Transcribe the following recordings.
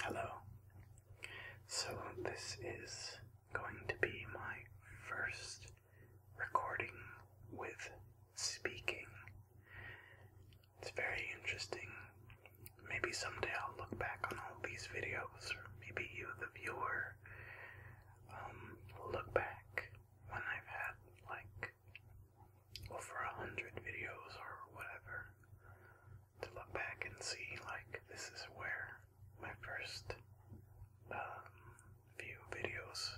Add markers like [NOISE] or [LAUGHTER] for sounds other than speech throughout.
Hello. So, this is going to be my first recording with speaking. It's very interesting. Maybe someday I'll look back on all these videos, or maybe you, the viewer, um, look back when I've had like over a hundred videos or whatever to look back and see like this is where my first um, few videos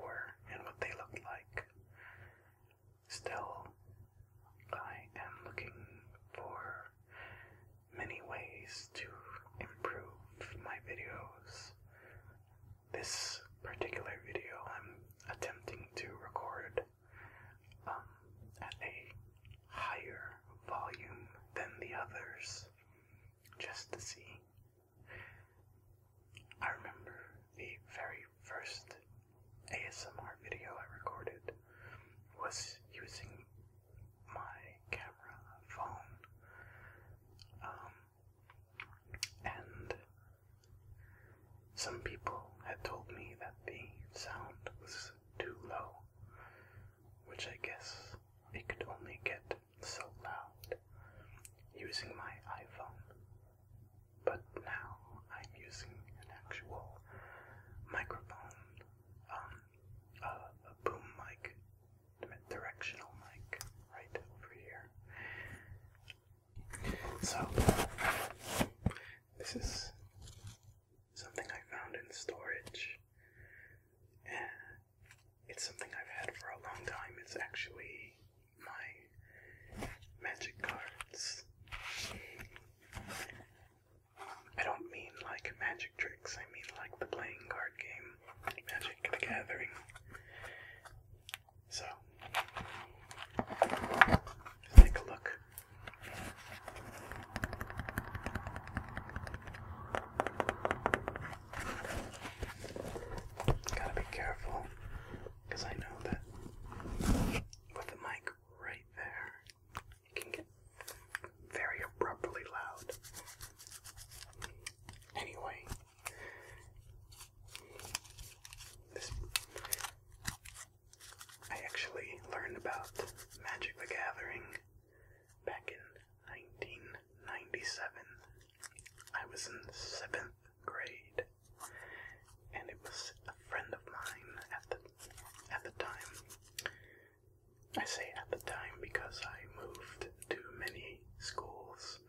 were and what they looked like. Still, I am looking for many ways to improve my videos. This particular video, I'm attempting to record um, at a higher volume than the others just to see. I remember the very first ASMR video I recorded was using my camera phone. Um, and some people had told me that the sound was too low, which I guess it could only get so loud using my iPhone. But now I'm using an actual microphone, um, a boom mic, directional mic, right over here. So, this is something I found in storage, it's something I've had for a long time. It's actually my magic cards. I don't mean like magic tricks, I mean like the playing card game, Magic the Gathering. So take a look. Gotta be careful because I know that with the mic right there, it can get very abruptly loud. Anyway, this I actually learned about Magic the Gathering back in 1997. I was in seventh grade, and it was a friend of mine at the at the time. I say at the time because I moved to many schools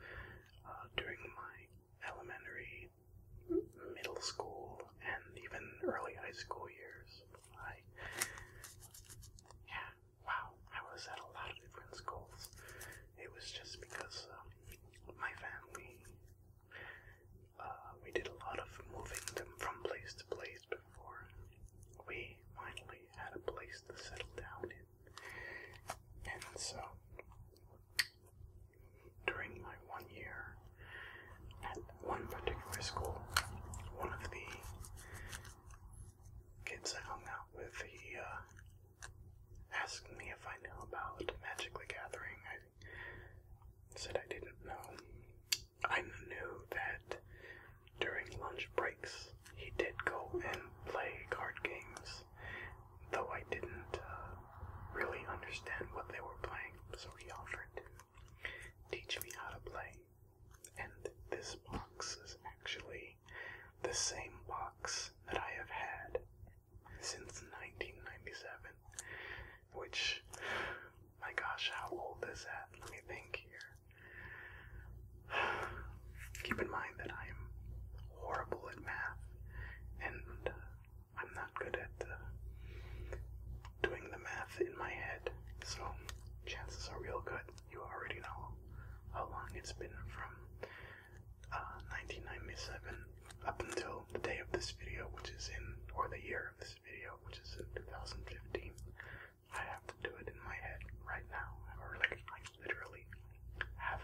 uh, during my elementary middle school and even early high school years. I, yeah, wow, I was at a lot of different schools. It was just because um, my family, uh, we did a lot of moving them from place to place before we finally had a place to settle down in. And so, during my one year at one particular school, one of the kids I hung out with, he uh, asked me if I knew about Magic the Gathering. I said I didn't know. I knew that during lunch breaks he did go and play card games, though I didn't uh, really understand what they were playing, so he offered to teach me how to play. And this box is actually the same box that I have had since 1997, which, my gosh, how old is that? Let me think here. [SIGHS] Keep in mind that I am horrible at math, and uh, I'm not good at uh, doing the math in my head, so chances are real good. You already know how long it's been from 1997 uh, up until the day of this video, which is in, or the year of this video, which is in 2015. I have to do it in my head right now, or like I literally have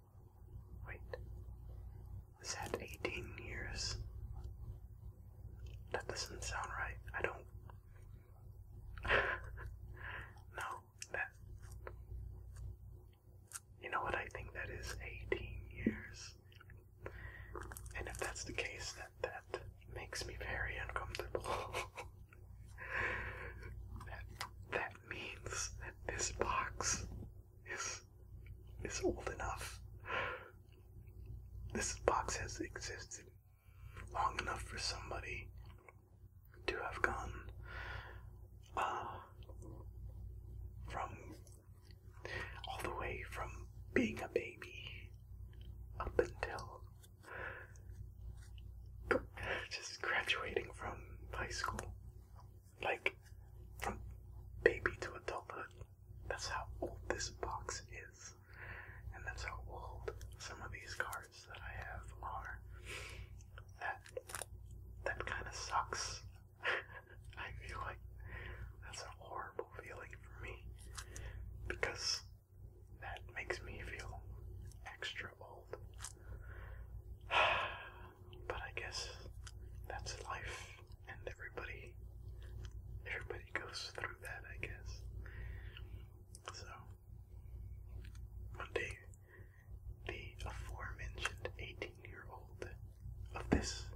Wait. Was that 18 years? That doesn't sound right. I don't. [LAUGHS] no, that. You know what? I think that is 18 years. And if that's the case, that that makes me very uncomfortable. [LAUGHS] that that means that this box is is old enough. This box has existed long enough for somebody to have gone uh, from all the way from being a baby up until just graduating from high school like from baby to adulthood. That's how old this box is, and that's how old some of these cards that I have are. That that kind of sucks. [LAUGHS] I feel like that's a horrible feeling for me because that makes me feel extra old. [SIGHS] But I guess that's life, and everybody, everybody goes through that. I guess. So one day, the aforementioned 18-year-old of this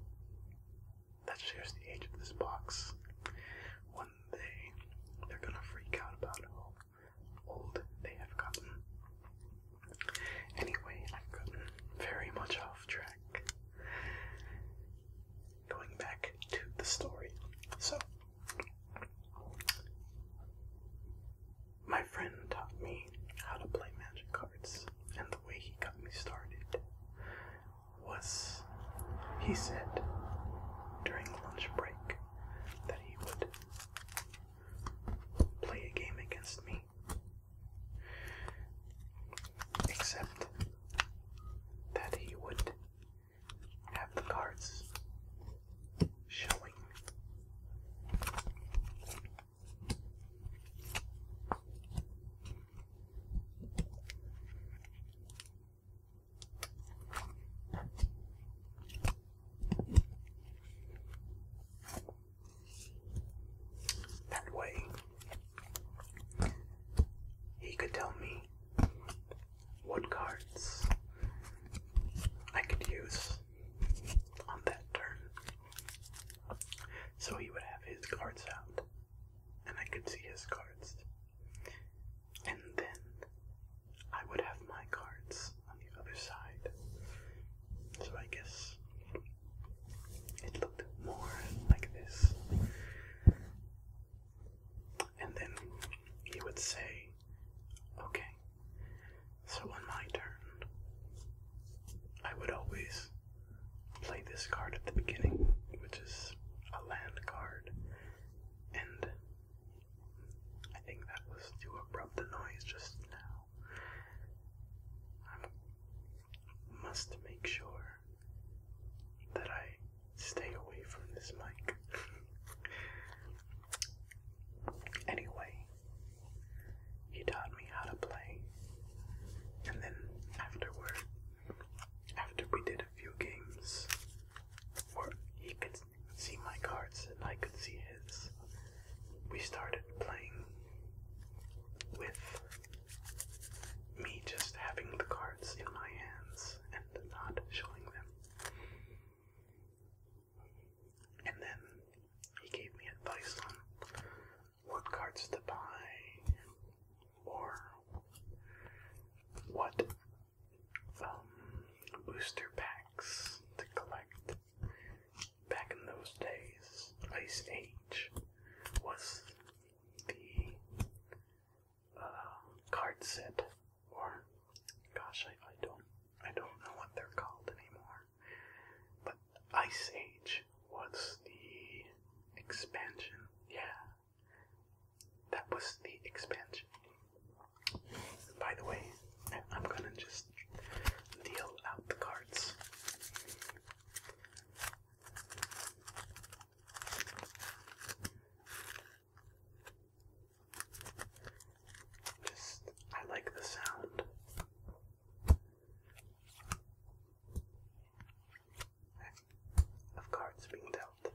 that shares the age of this box, one day they're gonna freak out about how old they have gotten. Anyway, I've very much off track. Going back to the story. So, my friend taught me how to play magic cards, and the way he got me started was he said during lunch break that he would play a game against me Except that he would have the cards showing. That way, he could tell me what cards I could use on that turn. So he would have his cards out, and I could see his cards. And then I would have my cards on the other side, so I guess it looked more like this. And then he would say, Okay, so on my turn, I would always play this card at the beginning, which is a land card. And I think that was too abrupt a noise just now. I must make sure that I stay away from this mic. [LAUGHS] anyway, he taught me how to play, and then afterward, after we did a few games, where he could see my cards and I could see his, we started playing with me just having the cards in my hands and not showing them. And then he gave me advice on what cards to buy or what um, booster packs to collect back in those days, Ice Age was the uh, card set, or gosh, I, I don't, I don't know what they're called anymore. But Ice Age was the expansion, yeah. That was the expansion. By the way, I'm gonna just Deal out the cards. Just, I like the sound. Of cards being dealt.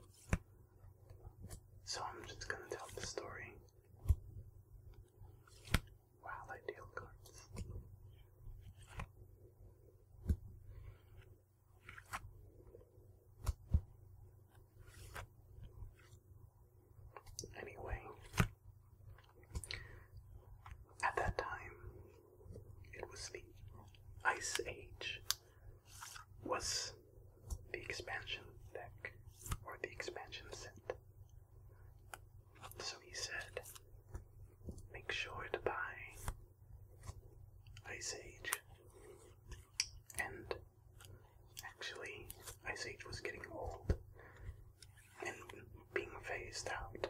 So I'm just going to tell the story while I cards. Anyway, at that time, it was the Ice Age, was the expansion deck or the expansion set. So he said, Make sure to buy Ice Age. And actually, Ice Age was getting old and being phased out.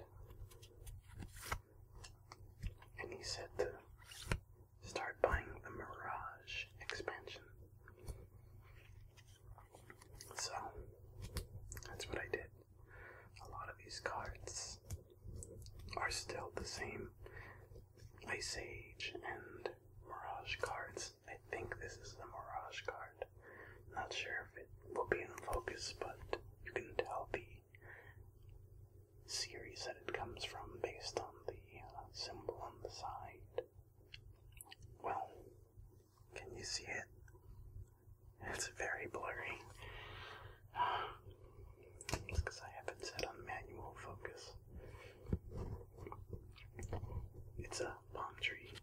And he said to start buying the Mirage expansion. So that's what I did a lot of these cards are still the same Ice Age and Mirage cards. I think this is the Mirage card. Not sure if it will be in focus, but you can tell the series that it comes from based on the uh, symbol on the side. Well, can you see it? It's very blurry. It's because I haven't set on manual focus. It's a palm tree.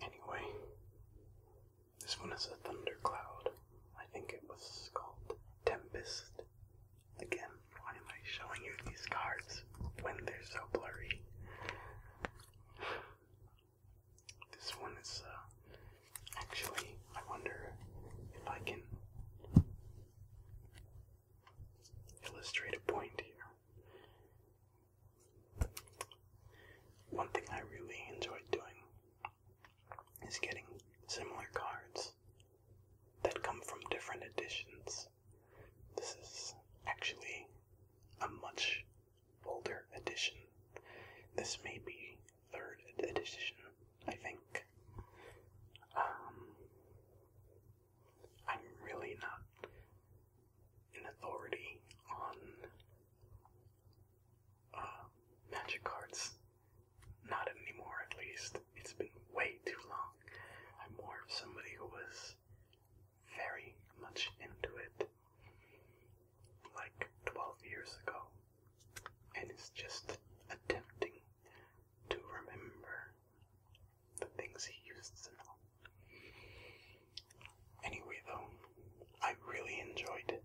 Anyway, this one is a thundercloud. I think it was called Tempest. Again, why am I showing you these cards? when they're so blurry. This one is uh, actually, I wonder if I can illustrate a point here. One thing I really enjoyed doing is getting similar cards that come from different editions this is actually a much older edition. This may be third edition, I think. Um, I'm really not an authority on uh, magic cards. Not anymore, at least. It's been way too long. I'm more of somebody who was very much into it like 12 years ago and is just attempting to remember the things he used to know. Anyway, though, I really enjoyed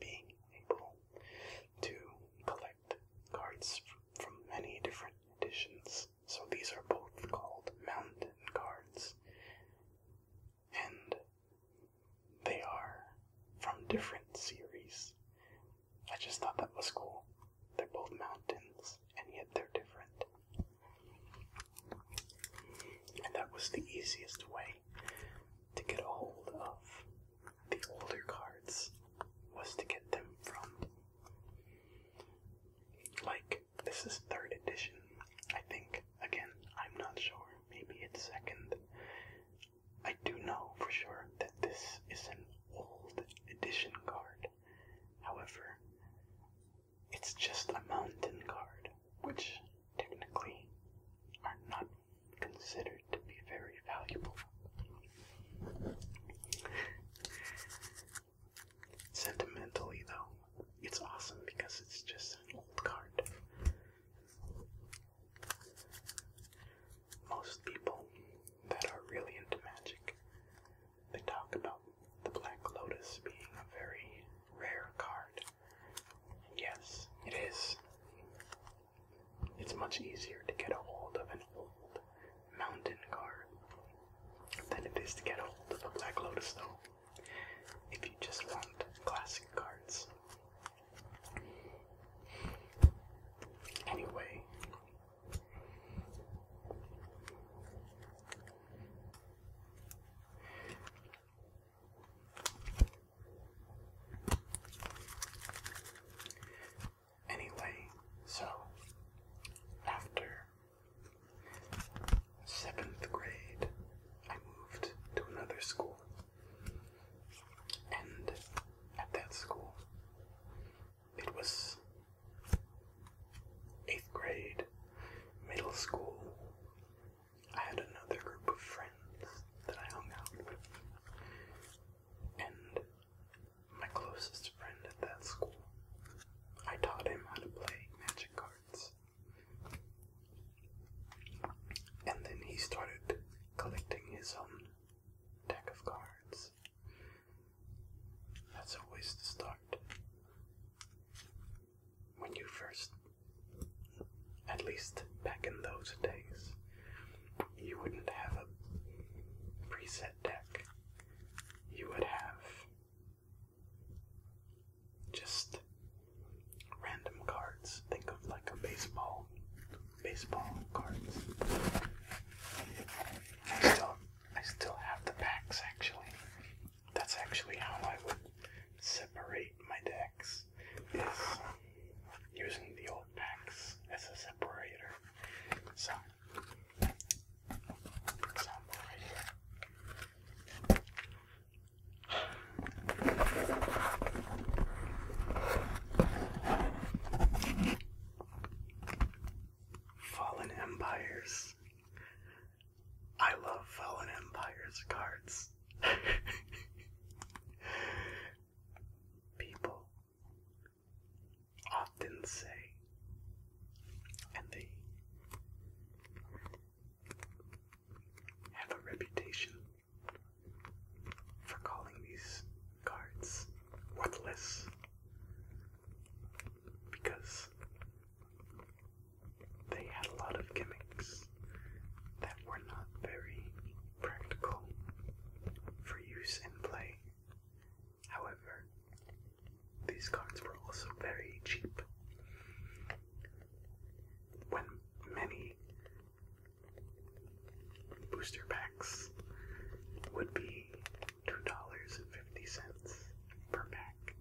being able to collect cards from many different editions so these are both called mountain cards. And they are from different series. I just thought that was cool. They're both mountains, and yet they're different. And that was the easiest way to get a hold of the older cards was to get them from like this is third edition. I think. Again, I'm not sure. Maybe it's second. I do know for sure that this is an old edition card. However, it's just a mountain card, which technically are not considered to be very valuable. Sentimentally, though, it's awesome because it's just an old card. Most people that are really into magic, they talk about the Black Lotus being a very rare card. yes, it is. It's much easier to get a hold of an old mountain card than it is to get hold of a Black Lotus, though, if you just want classic cards. Anyway, Anyway, so after Seventh grade, I moved to another school. And at that school, it was eighth grade, middle school. I had another group of friends that I hung out with. And my closest friend at that school. I taught him how to play magic cards. And then he started collecting his own deck of cards. That's always the start. When you first, at least back in those days, you wouldn't have a preset deck. You would have just random cards. Think of like a baseball, baseball cards. I still, I still have the packs actually. That's actually how I would separate my decks. Is using the old packs as a separator. So Fallen Empires. I love Fallen Empires cards. [LAUGHS] People often say and they have a reputation for calling these cards worthless because they had a lot of gimmicks that were not very practical for use in play However, these cards were also very cheap. When many booster packs would be $2.50 per pack,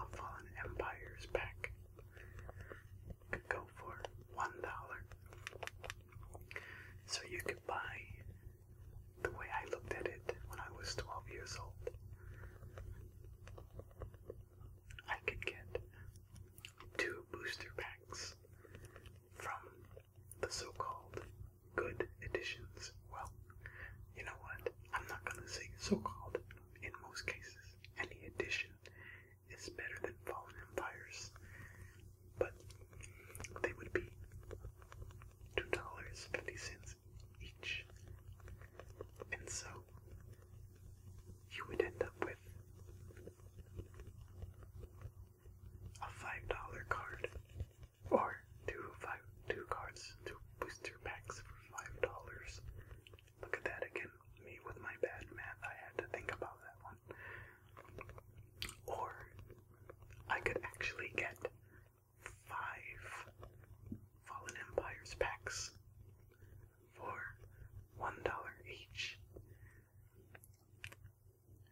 a Fallen Empires pack could go for $1. So you could buy the way I looked at it when I was 12 years old. I could get two booster packs from the so called good editions. Well, you know what? I'm not gonna say so called in most cases. Any edition is better than Fallen Empires. But they would be $2.50 each. And so you would end up with a $5 card or two five two cards, two booster packs for $5. Look at that again. Me with my bad math, I had to think about that one. Or I could actually get five Fallen Empires packs for one dollar each.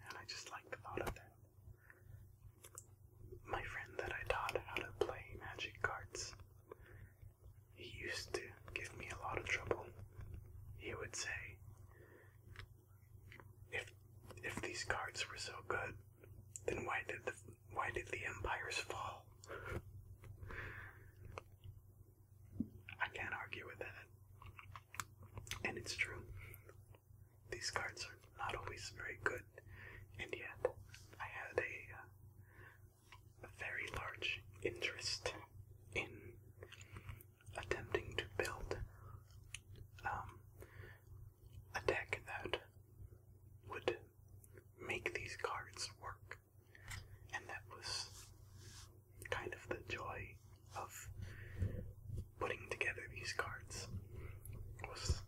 And I just like the thought of that. My friend that I taught how to play magic cards, he used to give me a lot of trouble. He would say, if if these cards were so good, then why did the why did the empires fall? I can't argue with that. And it's true. These cards are not always very good, and yet I had a, uh, a very large interest in attempting to build um, a deck that would make these cards work. And that was kind of the joy of putting together these cards was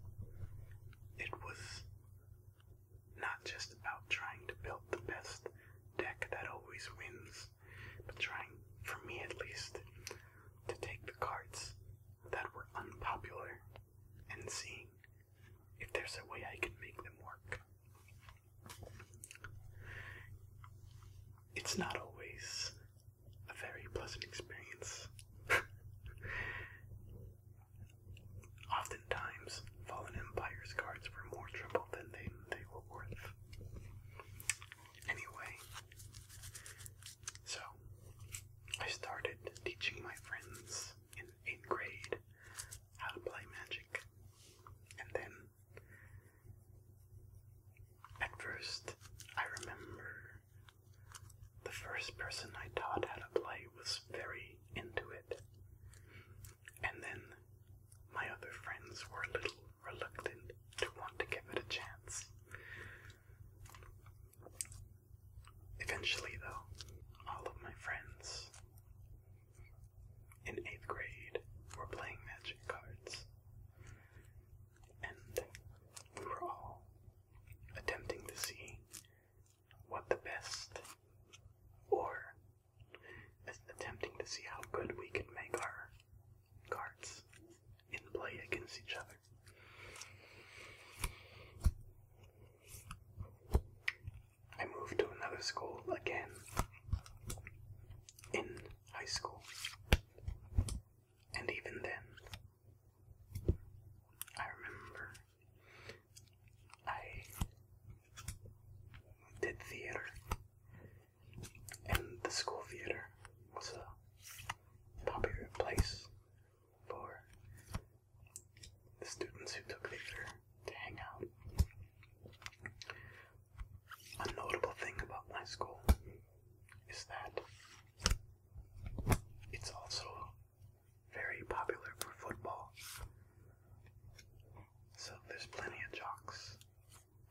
it was not just about trying to build the best deck that always wins, but trying, for me at least, to take the cards that were unpopular and seeing if there's a way I can make them work. It's not always a very pleasant experience. [LAUGHS] Oftentimes, Fallen Empire's cards were more trouble than they, they were worth. Anyway, so, I started teaching my friends in 8th grade how to play magic. And then, at first, I remember the first person I taught how to play was very into it. And then, my other friends were a little reluctant to want to give it a chance. Eventually, though, all of my friends in eighth grade were playing magic cards, and we were all attempting to see what the best or attempting to see how good we can make our cards in play against each other. I moved to another school again in high school, and even then, I remember I did theater, and the school theater was a popular place for the students who took theater to hang out. A notable thing about my school is that it's also very popular for football. So there's plenty of jocks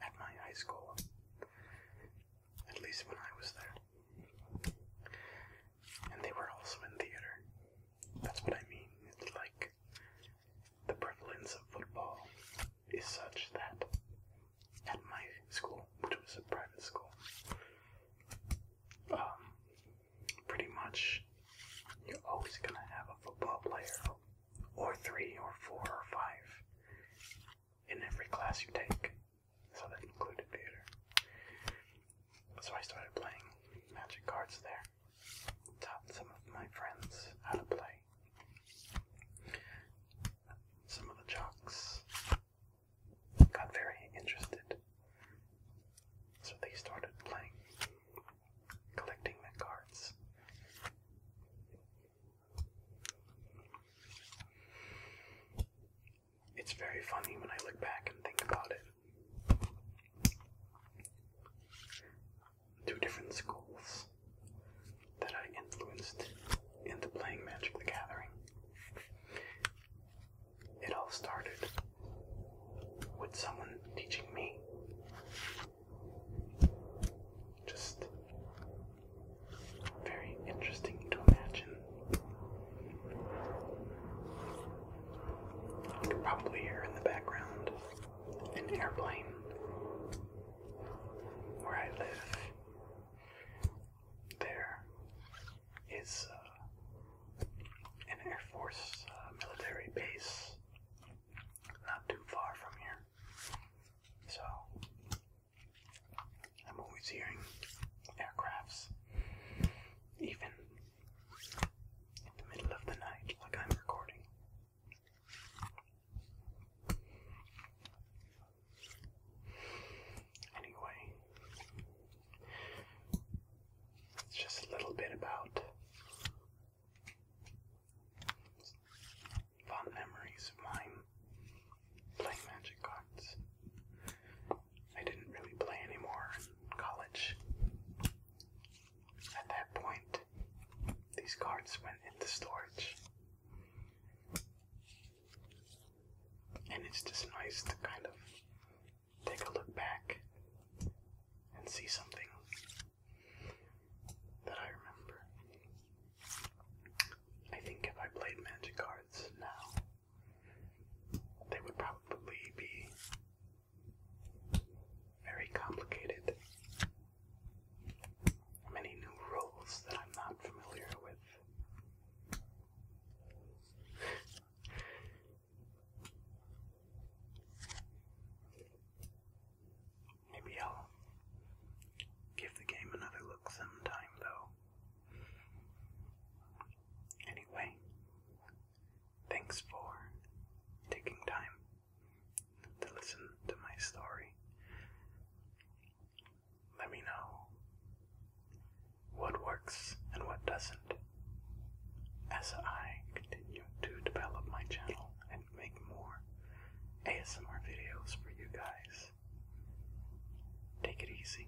at my high school, at least when I was there. And they were also in theater. That's what I mean. It's like the prevalence of football is such that at my school, which was a private school, um, pretty much you're always going to have a football player, or three, or four, or five, in every class you take. So that included theater. So I started playing magic cards there. Taught some of my friends how to play. Some of the jocks got very interested. So they started playing, collecting the cards. It's very funny when I look back and think about it. Two different schools that I influenced into playing Magic the Gathering. It all started with someone teaching me just very interesting to imagine probably hear in the background an airplane. Where I live, there is uh, an Air Force uh, military base not too far from here. So I'm always hearing aircrafts even in the middle of the night, like I'm recording. Anyway, it's just a little bit about fond memories of mine playing magic cards. I didn't really play anymore in college. At that point, these cards went into storage. And it's just nice to kind of take a look back and see something that I remember. I think if I played Magic cards now, they would probably be very complicated. Many new rules that I'm not familiar with. Maybe I'll give the game another look sometime, though. Anyway, thanks for taking time to listen to my story. Let me know what works and what doesn't as I continue to develop my channel and make more ASMR videos for you guys. Take it easy.